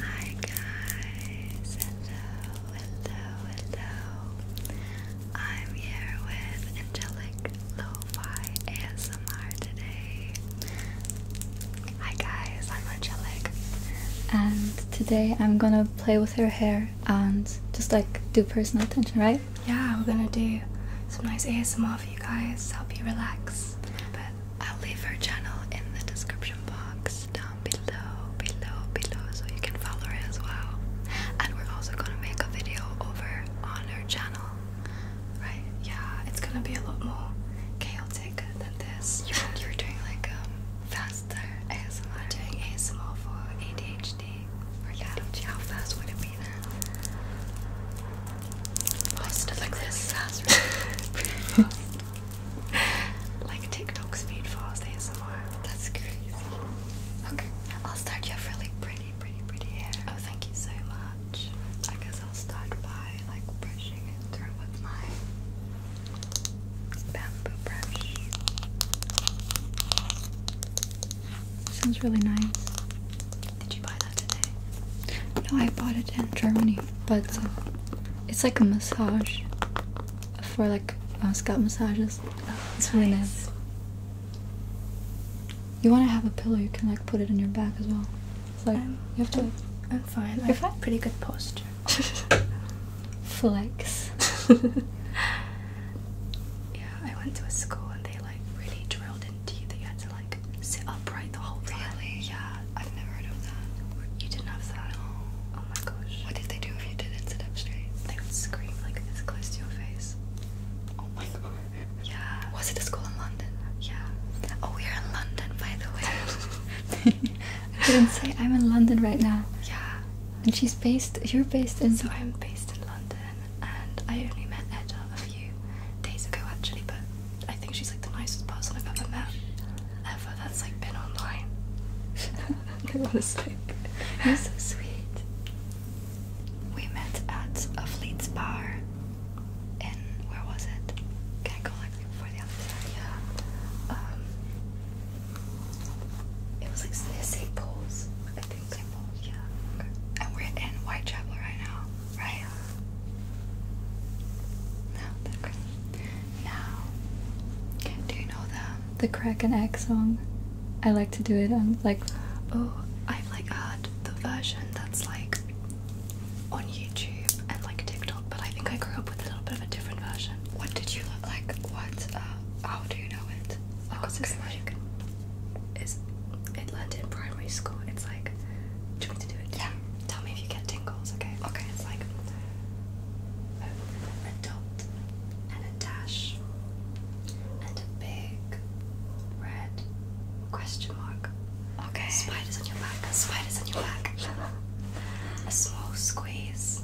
Hi guys, hello, hello, hello. I'm here with Angelic Lo-Fi ASMR today. Hi guys, I'm Angelic. And today I'm gonna play with her hair and just like do personal attention, right? Yeah, we're gonna do some nice ASMR for you guys help you relax I'll leave her channel in the description box down below, below, below, so you can follow her as well. And we're also gonna make a video over on her channel, right? Yeah, it's gonna be a lot more chaotic than this. You, are doing like um, faster ASMR. I'm doing ASMR for ADHD. yeah, how fast would it be post like this. like TikTok speed fast ASMR. That's crazy. Okay, I'll start you have really pretty, pretty, pretty hair. Oh, thank you so much. I guess I'll start by like brushing it through with my bamboo brush. Sounds really nice. Did you buy that today? No, I bought it in Germany, but uh, it's like a massage for like uh, scalp massages. it's really nice. You want to have a pillow? You can like put it in your back as well. It's like you have to. I'm, fine. I have pretty good posture. Flex. yeah, I went to school and they like really drilled in teeth that had to like sit upright the whole time. Really? Yeah. I've never heard of that. You didn't have that? Oh my gosh. What did they do if you didn't sit up straight? They would scream like this close to your face. Oh my god. Yeah. Was it a school in London? Yeah. Oh, we are in London, by the way. I did not say I'm in London right now. Yeah. And she's based, you're based in. So I'm based in London and I only met Edda a few days ago actually, but I think she's like the nicest person I've ever met, ever, that's like been online. no one like, so sweet. We met at a Fleets bar and where was it? Can I go like before the other side? Yeah. Um, it was like St. Paul's, I think. St. Paul's, yeah. Okay. And we're in Whitechapel right now. Right. No, the crack. Now, do you know the the crack and song? I like to do it on like, oh, I've like heard uh, the version that's like on YouTube and like TikTok, but I think I grew up with a little bit of a different version. What did you look like? What? Uh, how do you know it? Like, oh, what's this like? is in London primary school. It's like, do you need to do it? Yeah. Tell me if you get tingles, okay? Okay, it's like a dot and a dash and a big red question mark. Okay. Spiders on your back, spiders on your back. a small squeeze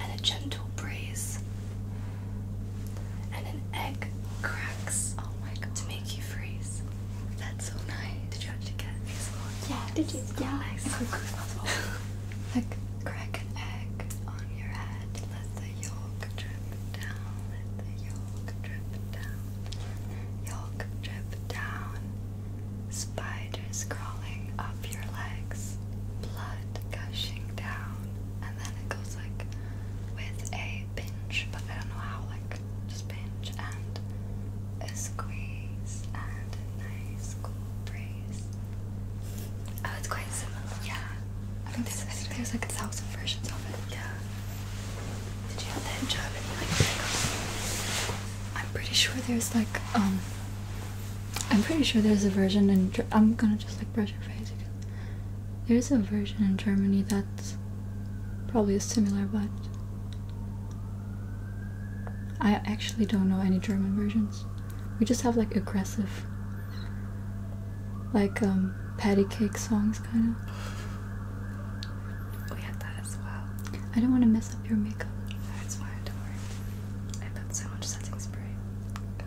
and a gentle breeze and an egg cracks oh my God. to make you freeze. That's so nice. Did you actually get Yeah, did you? yeah. like, crack an egg on your head. Let the yolk drip down. Let the yolk drip down. Yolk drip down. Spiders crawling up your legs. Blood gushing down. And then it goes like with a pinch, but I don't know how, like just pinch and a squeeze and a nice cool breeze. Oh, it's quite similar. Yeah. I think there's, there's like a thousand versions of it. Yeah. Did you have that in I'm pretty sure there's like, um, I'm pretty sure there's a version and I'm gonna just like brush your face there's a version in Germany that's probably similar, but I actually don't know any German versions. We just have like aggressive, like um, patty cake songs, kind of. Oh, we had that as well. I don't want to mess up your makeup. That's fine. don't worry. I put so much setting spray. God.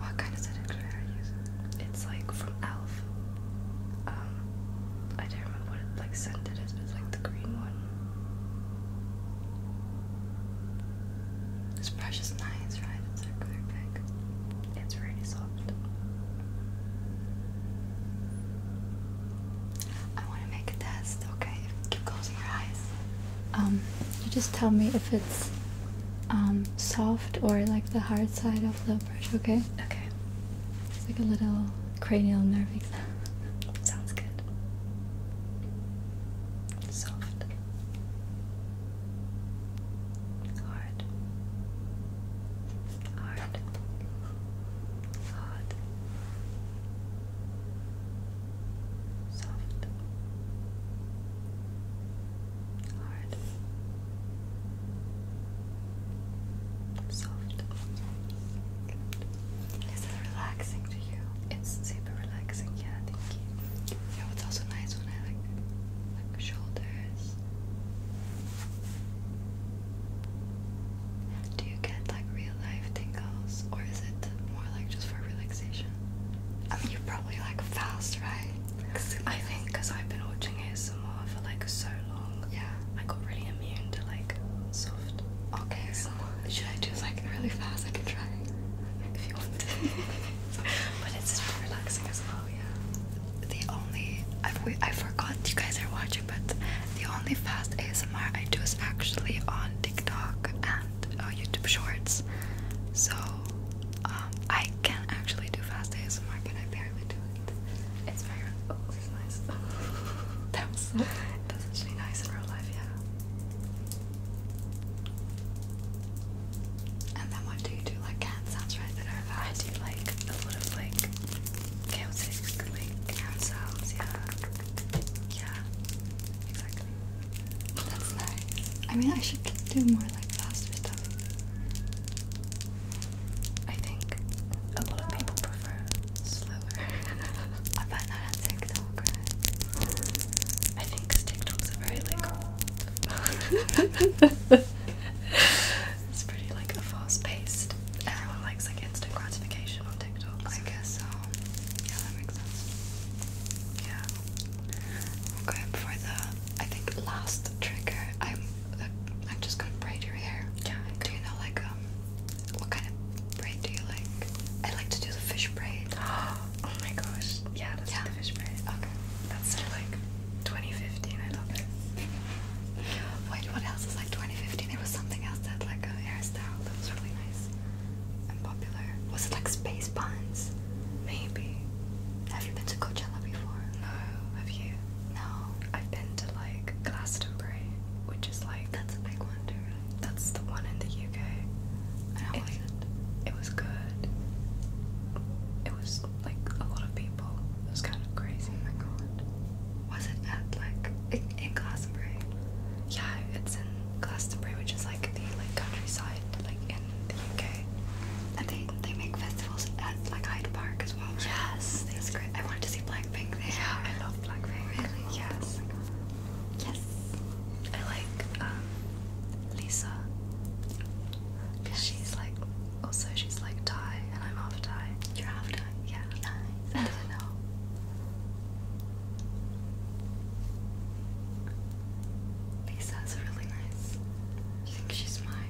What kind of setting spray are you using? It's like from Elf. Um, I don't remember what it, like scent it is, but it's like the green one. This brush is nice, right? It's circular big. It's really soft. I want to make a test. Okay, keep closing your eyes. Um, you just tell me if it's um, soft or like the hard side of the brush, okay? Okay. It's like a little cranial nerve exam. Sounds good. Soft. Hard. Hard. Hard. Soft hard, soft. Is it relaxing to you? It's super relaxing, yeah, thank you. Yeah, it's also nice when I like like shoulders. Do you get like real life tingles or is it more like just for relaxation? I mean, you're probably like fast, right? I think because I've been watching ASMR for like so long, yeah, I got really immune to like soft. Okay, so should I do like really fast? I can try if you want but it's relaxing as well. Yeah. The only I I forgot you guys are watching, but the only fast ASMR I do is actually on TikTok and uh, YouTube Shorts. So um, I can actually do fast ASMR, but I barely do it. It's very oh, it's nice. that was so, that's actually nice in real life, yeah. And then what do you do? Like cat sounds right that are fast. I do like a lot of like chaotic like cat sounds, yeah. Yeah. Exactly. That's nice. I mean I should do more I like faster stuff. I think a lot of people prefer slower. I find that on TikTok, I think TikToks are very like it's pretty like a fast paced. Everyone likes like instant gratification on TikTok. I guess so. Yeah, that makes sense. Yeah. I'm for the, I think, last trigger. I'm, uh, I'm just gonna braid your hair. Yeah. Do you know like um, what kind of braid do you like? I like to do the fish braid. Oh my gosh. Yeah, that's yeah. the fish braid. Okay. That's like 2015. I love it. Wait, what else is like 2015? There was something else that like a hairstyle that was really nice and popular. Was it like space buns? Maybe. Have you been to Coachella before? No. Have you? No. I've been to like Glastonbury, which is like that's a big one too. That's the one in the UK. And how it, was it? was good. It was like a lot of people. It was kind of crazy. Oh my god. Was it at like in, in Glastonbury? Yeah, it's in Glastonbury, which is like the like countryside, like in the UK. And they they make festivals at like Hyde Park as well. Right? Yes, that's great. I wanted to see Blackpink there. Yeah, I love Blackpink. Really? Oh yes. Yes. I like um, Lisa. Cause she's like also she's like Thai and I'm half Thai. You're half Thai. Yeah. Nice. I do really nice. I think she's my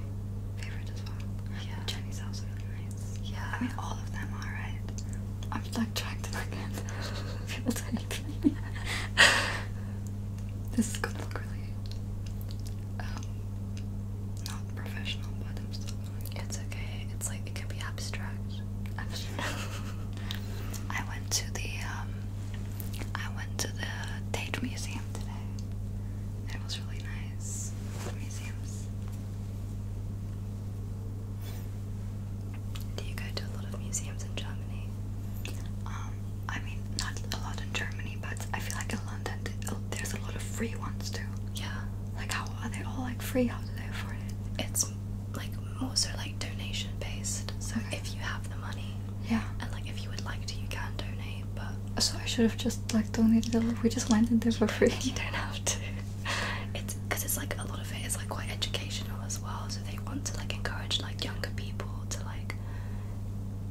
favorite as well. Chinese house really nice. Yeah. I mean, all of them are, right? I'm like trying to not people to hate me. This is gonna look really, um, not professional, but I'm still going. It's okay. It's like, it can be abstract. Abstract. I went to the, um, I went to the Tate Museum today. It was really nice. museums. Do you go to a lot of museums in Germany? Um, I mean, not a lot in Germany, but I feel like in London uh, there's a lot of free ones too. Yeah. Like, how are they all like free? How do they afford it? It's like most are like donation based. So if you have the money, yeah. And like if you would like to you can donate but So I should have just like donated a lot. We just went landed there for free. You don't have to. It's because it's like a lot of it is like quite educational as well, so they want to like encourage like younger people to like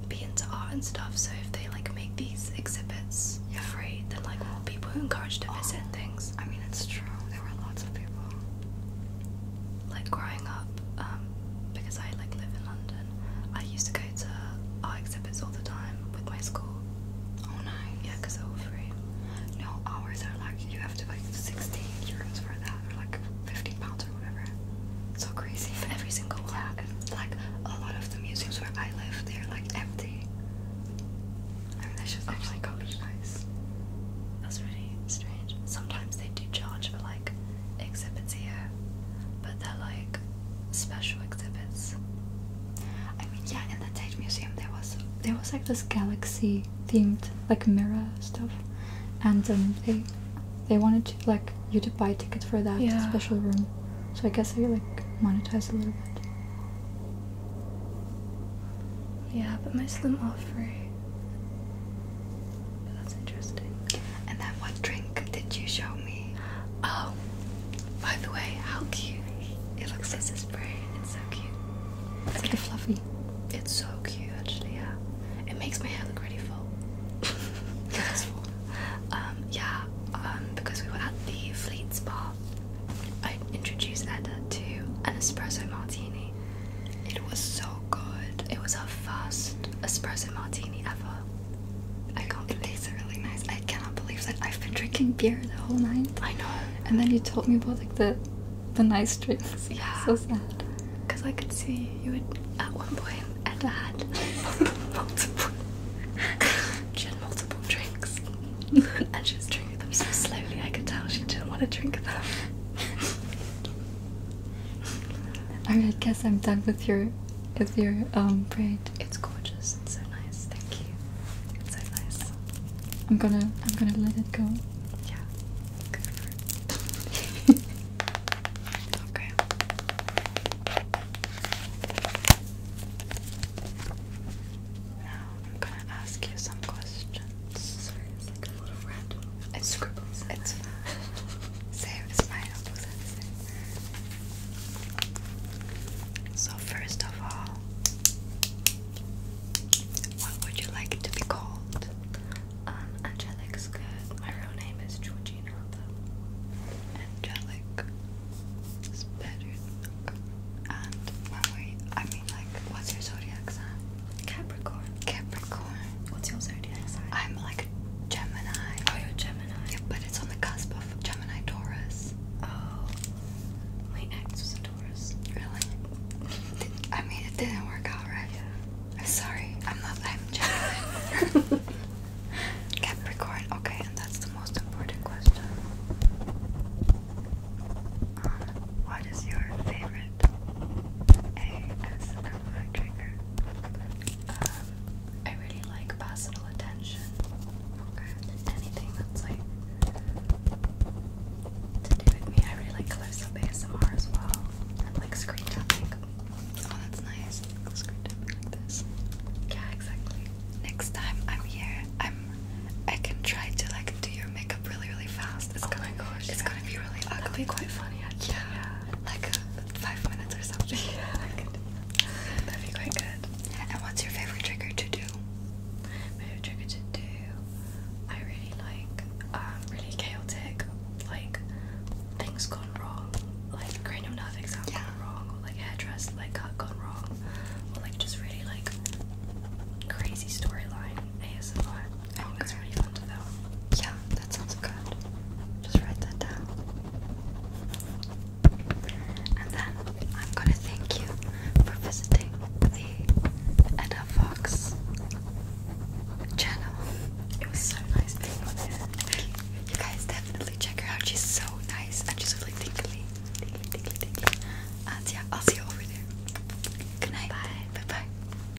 be into art and stuff. So if they like make these exhibits free, then like more people are encouraged to visit oh, things. I mean it's true. There were lots of people like growing up, um, because I like live in London, I used to go to art exhibits all the time with my school. Oh nice. Yeah, because they're all free. No, ours are like you have to pay sixteen euros for that, or like fifteen pounds or whatever. So crazy. For every single one. Yeah, and like a lot of the museums where I live, they're like empty. I mean, that should oh actually my gosh. be nice. That's really strange. Sometimes they do charge for exhibits here, but they're like special exhibits. I mean, yeah, in the Tate Museum there was there was like this galaxy themed like mirror stuff, and um, they they wanted to like you to buy a ticket for that special room. So I guess they like monetize a little bit. Yeah, but most of them are free. That's interesting. And then what drink did you show me? Oh, by the way, how cute. It looks like a spray. It's so cute. It's like a fluffy. It's so cute, actually, yeah. It makes my hair look really full. it's full. Um, yeah, um, because we were at the Fleet Spa, I introduced Edda to an espresso martini it was so good. It was our first espresso martini ever. I can't it tastes really nice. I cannot believe that I've been drinking beer the whole night. I know. And then you told me about like the the nice drinks. Yeah. So sad. Cause I could see you would at one point and I had multiple she had multiple drinks. and she was drinking them so slowly I could tell she didn't want to drink them. I guess I'm done with your with your um braid. It's gorgeous. It's so nice. Thank you. It's so nice. I'm gonna I'm gonna let it go. Yeah. Go for it. okay. Now I'm gonna ask you some questions a little It's fine. So first of all, what would you like to be called? Um, Angelic's good. My real name is Georgina. Though. Angelic is better. And when I mean, like, what's your zodiac sign? Capricorn. Capricorn. What's your zodiac sign? I'm like Gemini. Oh, you're Gemini. but it's on the cusp of Gemini Taurus. Oh, my ex was a Taurus. Really? I mean, it didn't work out, right? I'm sorry. I'm not. I'm Capricorn. Okay, and that's the most important question. Uh, what is your favorite ASMR trigger? Um, I really like personal attention. Anything that's like to do with me. I really like close up ASMR as well. like screen tapping. Oh, that's nice. Screen tapping like this. Yeah, exactly. Next time I'm here, I'm I can try to like do your makeup really really fast. It's oh gonna be really ugly. quite funny yeah like five minutes or something. that'd be quite good. And what's your favorite trigger to do? favorite trigger to do, I really like um, really chaotic, like things gone wrong, like cranial nerve exam gone wrong, or like hairdress like cut gone wrong, or like just really like crazy storyline ASMR. I think that's fun though. Yeah, that sounds good. Just write that down. And then I'm gonna thank you for visiting the Edda Fox channel. It was so nice being on you. you guys definitely check her out. She's so nice and she's really tingly. Tingly, tingly, tingly. And yeah, I'll see you over there. Good night. Bye. Bye bye.